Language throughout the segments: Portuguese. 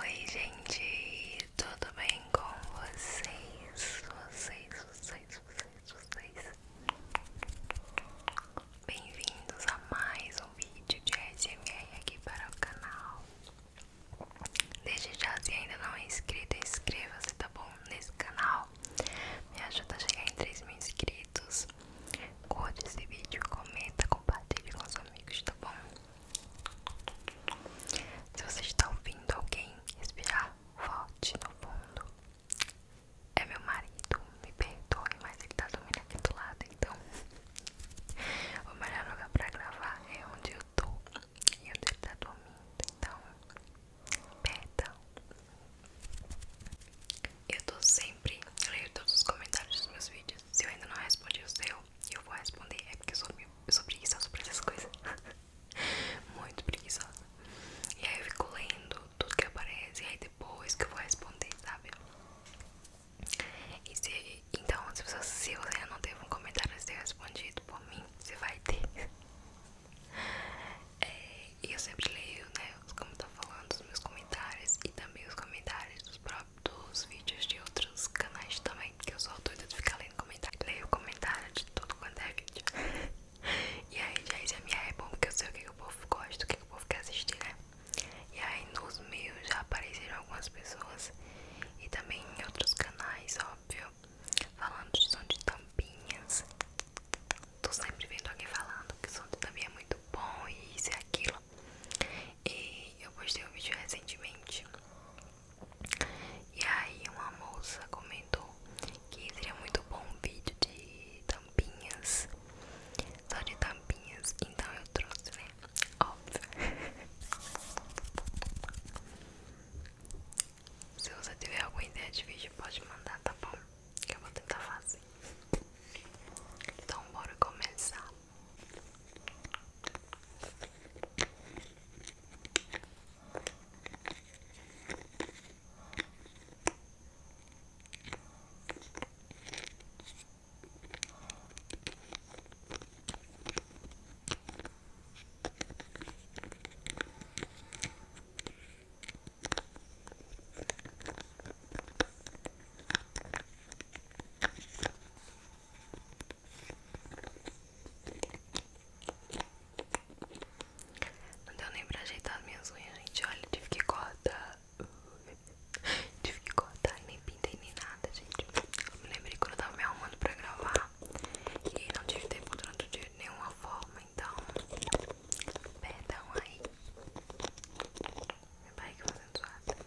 Oi, gente, tudo bem com vocês? Vocês, vocês, vocês, vocês. Bem-vindos a mais um vídeo de SMR aqui para o canal. Desde já, se ainda não é inscrito, inscreva-se, tá bom? Nesse canal me ajuda a chegar em 3 mil inscritos. Curte esse vídeo, comenta, compartilhe com os amigos, tá bom? Se você está ouvindo alguém respirar forte no fundo, é meu marido, me perdoe, mas ele está dormindo aqui do lado, então o melhor lugar para gravar é onde eu tô e onde ele está dormindo, então Perdão. Eu tô sempre, lendo todos os comentários dos meus vídeos. Se eu ainda não respondi o seu, eu vou responder. É porque eu sou, eu sou preguiçosa pra essas coisas. Muito preguiçosa. E aí eu fico lendo tudo que aparece. E aí depois que eu vou responder, sabe? então, se você, se não teve um comentário ser respondido por mim, você vai ter e é, eu sempre leio, né, como tá falando, os meus comentários e também os comentários dos próprios vídeos de outros canais também, que eu sou doida de ficar lendo comentário. Leio comentário de tudo quanto é vídeo. e aí já isso a é minha é bom, porque eu sei o que, que o povo gosta, o que, que o povo quer assistir, né? E aí nos meus já apareceram algumas pessoas e também em outros canais, ó, falando de som de tampinhas. Tô sempre vendo alguém falando que o som de tampinha é muito bom e isso e aquilo. E eu postei um vídeo recentemente. E aí uma moça comentou que seria muito bom um vídeo de tampinhas. Só de tampinhas. Então eu trouxe, né? Óbvio. Se você tiver alguma ideia de vídeo, pode mandar, tá bom? Que eu vou tentar fazer. Então, bora começar. Não deu nem pra ajeitar as minhas unhas, gente. Olha, tive que cortar. Tive que cortar, nem pintei nem nada, gente. lembrei quando eu tava me arrumando pra gravar. E não tive tempo durante de nenhuma forma, então. Perdão aí. vai pai que fazendo zoada.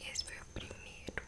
Esse foi o primeiro.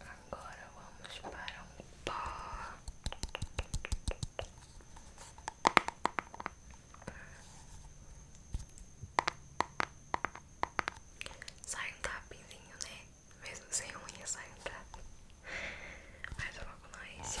Agora vamos para um pó. Sai um capinzinho, né? Mesmo sem unha, sai um capim. Mas eu vou colar esse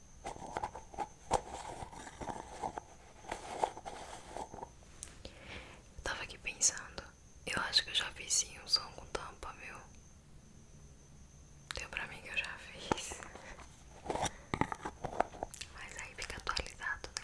Eu tava aqui pensando. Eu acho que eu já fiz sim um som com tampa, meu. Deu pra mim que eu já fiz. Mas aí fica atualizado, né?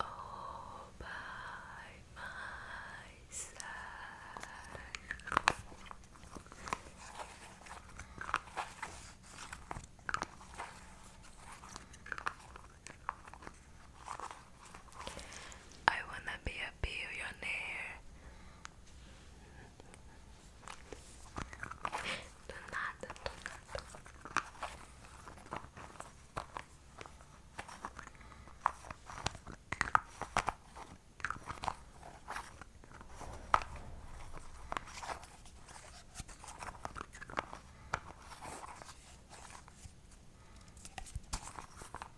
all by my side. I wanna be a billionaire. Do nada, do nada. Tá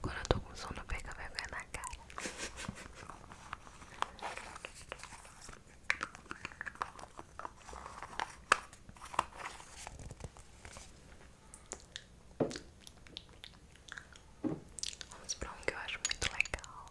Quando eu tô com sono, eu pego na cara. Vamos pra um que eu acho muito legal.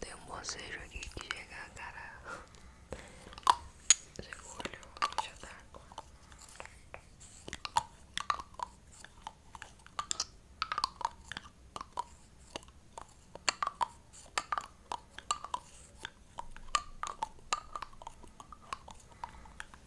Tem um bocejo aqui que chega cara. Chegou o deixa tá d'água.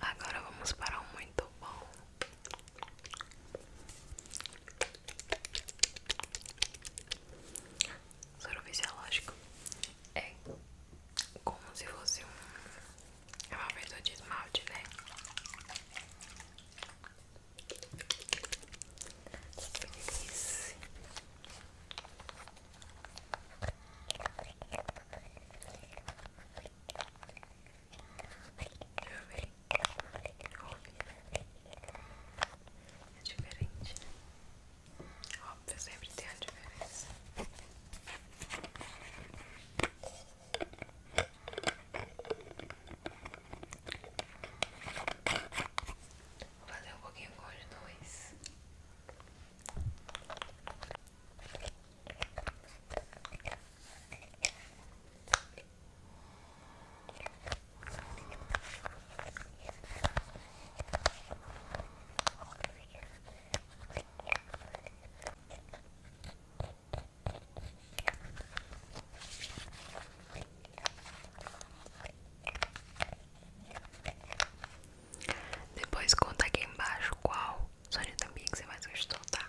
Agora vamos para um muito bom. Soro fisiológico é como se fosse um é uma verdura de esmalte, né? Que delícia. Deixa eu ver. Ouve. É diferente, né? Óbvio, sempre tem a diferença fazer um pouquinho com os dois. Depois conta aqui embaixo qual sonho também que você mais gostou, tá?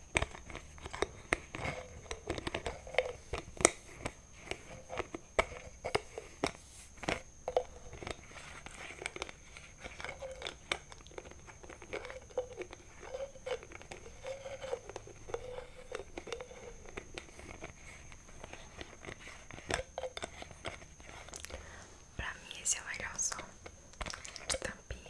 Pra mim esse é o melhor som de tampinha.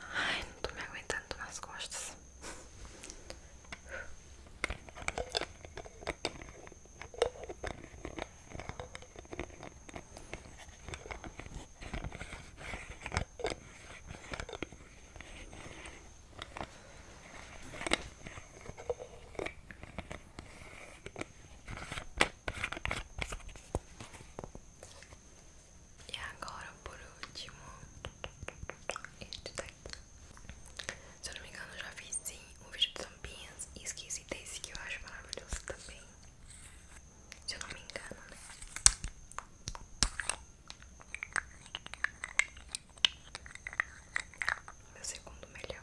Ai, não estou me aguentando nas costas. E agora, por último, este daqui. Se eu não me engano, eu já fiz um vídeo de tampinhas e esqueci desse que eu acho maravilhoso também. Se eu não me engano, né? Meu segundo melhor.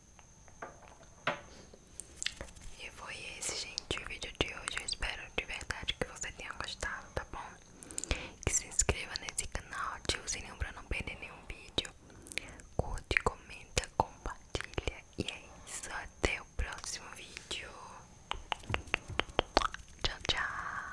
E foi esse, gente, o vídeo de hoje. Eu espero de verdade que você tenha gostado, tá bom? Que se inscreva nesse canal, ative o sininho pra não perder nenhum vídeo. Curte, comenta, compartilha. E é isso, até o próximo vídeo. Tchau, tchau.